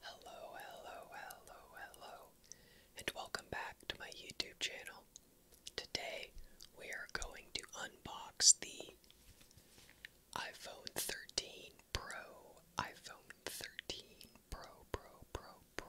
Hello, hello, hello, hello, and welcome back to my YouTube channel. Today we are going to unbox the iPhone 13 Pro, iPhone 13 Pro, Pro, Pro, Pro.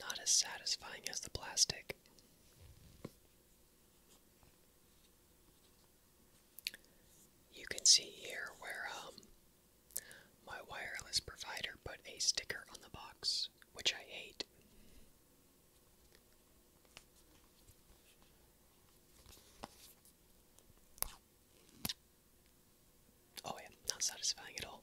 Not as satisfying as the plastic. You can see here where um, my wireless provider put a sticker on the box, which I hate. Oh, yeah, not satisfying at all.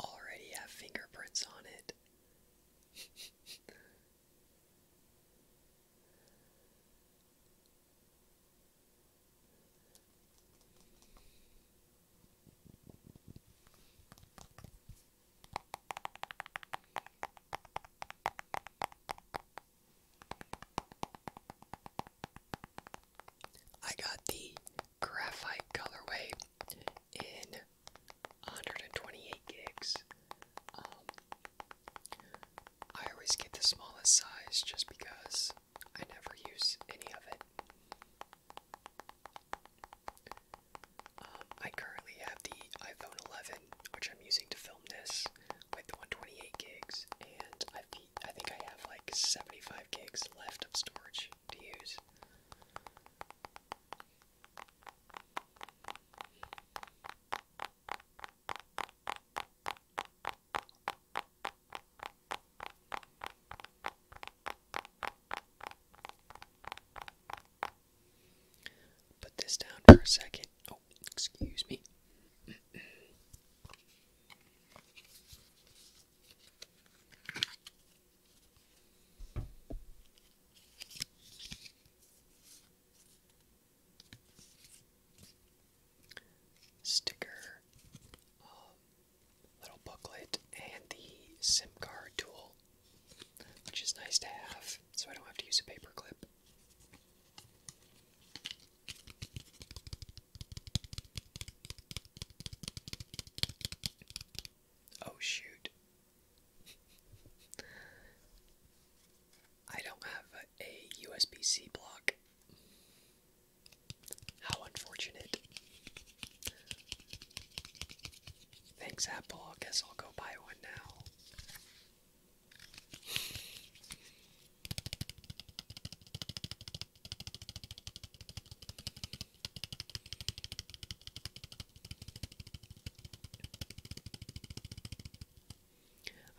Already have fingerprints on it. I got the graphite colorway in 128 gigs. Um, I always get the smallest size just because I never use any of it. Um, I currently have the iPhone 11, which I'm using to film this, with 128 gigs, and I've, I think I have like 75 gigs left of storage to use. Put this down for a second. Oh, excuse me. Sticker, um, little booklet, and the SIM card tool which is nice to have, so I don't have to use a paper clip. Oh shoot. I don't have a USB C block. How unfortunate. Thanks, Apple. I guess I'll go buy one now.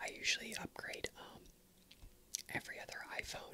I usually upgrade um, every other iPhone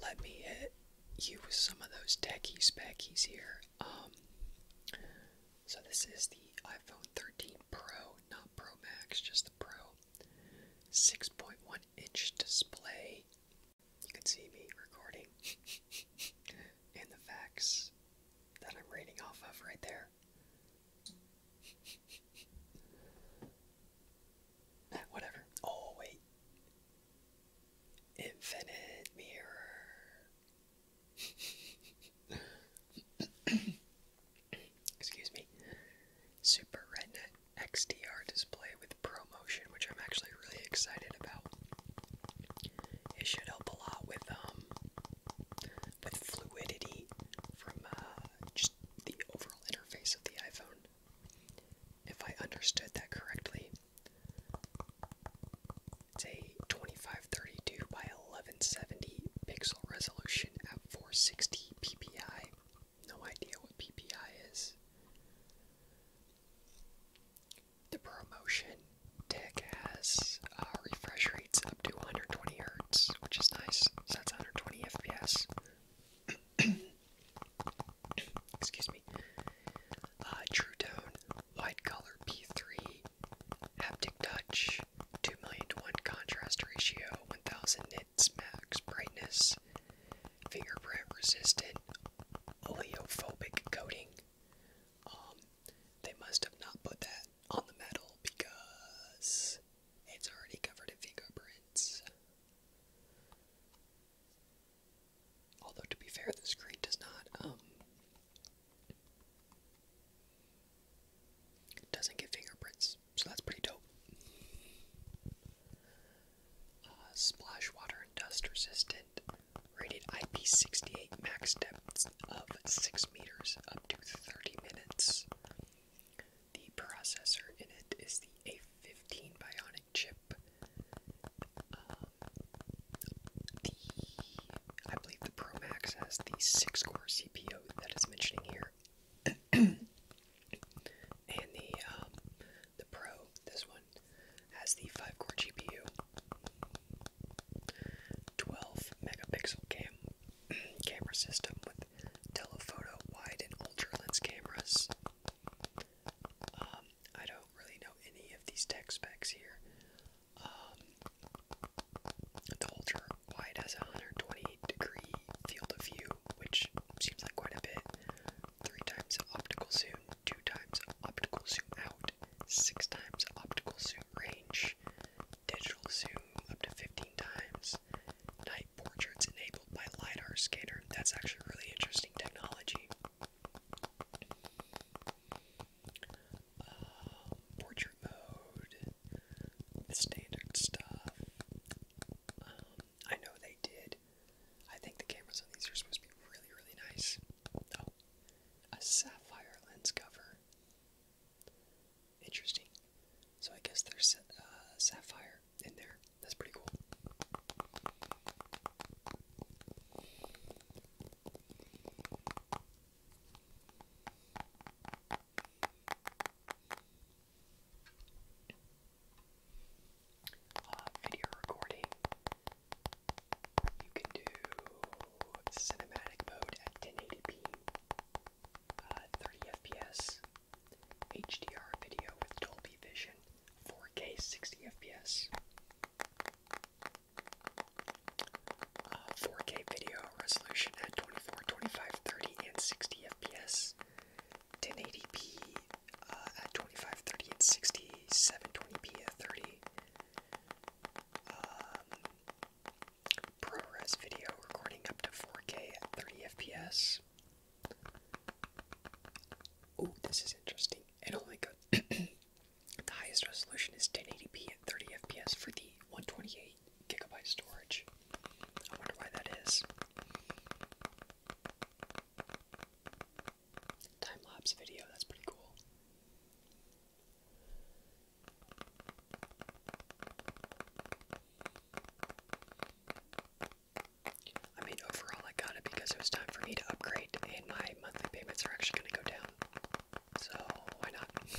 Let me hit you with some of those techie speckies here. Um, so this is the iPhone 13 Pro, not Pro Max, just the Pro. 6.1 inch display, you can see me recording and the facts that I'm reading off of right there. whatever. Oh, wait. Infinite mirror. Excuse me. Super Retina XDR display with Pro motion, which I'm actually really excited about. It should help a lot with um with fluidity from uh, just the overall interface of the iPhone. If I understood that correctly, it's a 2532 by 1170 pixel resolution at 460 ppi. No idea what ppi is the ProMotion tech has uh, refresh rates up to 120 hertz, which is nice. So that's 120 FPS. Excuse me. Uh, True Tone, Wide Color P3, Haptic Touch, 2 million to 1 contrast ratio, 1000 nits max brightness, fingerprint resistant oleophobic coating. Um, they must have not put that on the metal because it's already covered in fingerprints. Although, to be fair, the screen does not, um, doesn't get fingerprints, so that's pretty dope. Uh, splash water and dust resistant, rated IP68, max depths of 6 meters, up to 30 minutes. The processor in it is the A15 Bionic chip. Um, the, I believe the Pro Max has the 6 core CPU that is it's mentioning here. and the um, the Pro, this one, has the 5 core GPU, 12 megapixel cam camera system with telephoto, wide, and ultra lens cameras. Um, I don't really know any of these tech specs here. Um, the ultra wide has a 120 degree field of view, which seems like quite a bit. Three times optical zoom, two times optical zoom out, six times optical zoom range, digital zoom up to 15 times, night portraits enabled by LiDAR scanner. That's actually really interesting technology. Uh, portrait mode, the standard stuff. Um, I know they did. I think the cameras on these are supposed to be really, really nice. Oh, a sapphire lens cover. Interesting. So I guess there's uh, sapphire in there. That's pretty cool. Uh, video recording. You can do cinematic mode at 1080p, uh, 30 FPS, HDR video with Dolby Vision, 4K 60 FPS, 4K uh, video resolution at 24, 25, 30, and 60 FPS, 1080p uh, at 25, 30 at 60, 720p at 30. Um, ProRes video recording up to 4K at 30 FPS. Oh, this is interesting. And oh my God, the highest resolution is 1080p at 30 FPS for the 128 gigabyte storage. I wonder why that is time lapse video. That's pretty cool. I mean, overall, I got it because it was time for me to upgrade, and my monthly payments are actually going to go down. So, why not?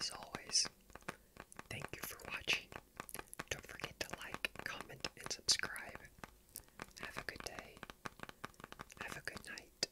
As always, thank you for watching. Don't forget to like, comment, and subscribe. Have a good day. Have a good night.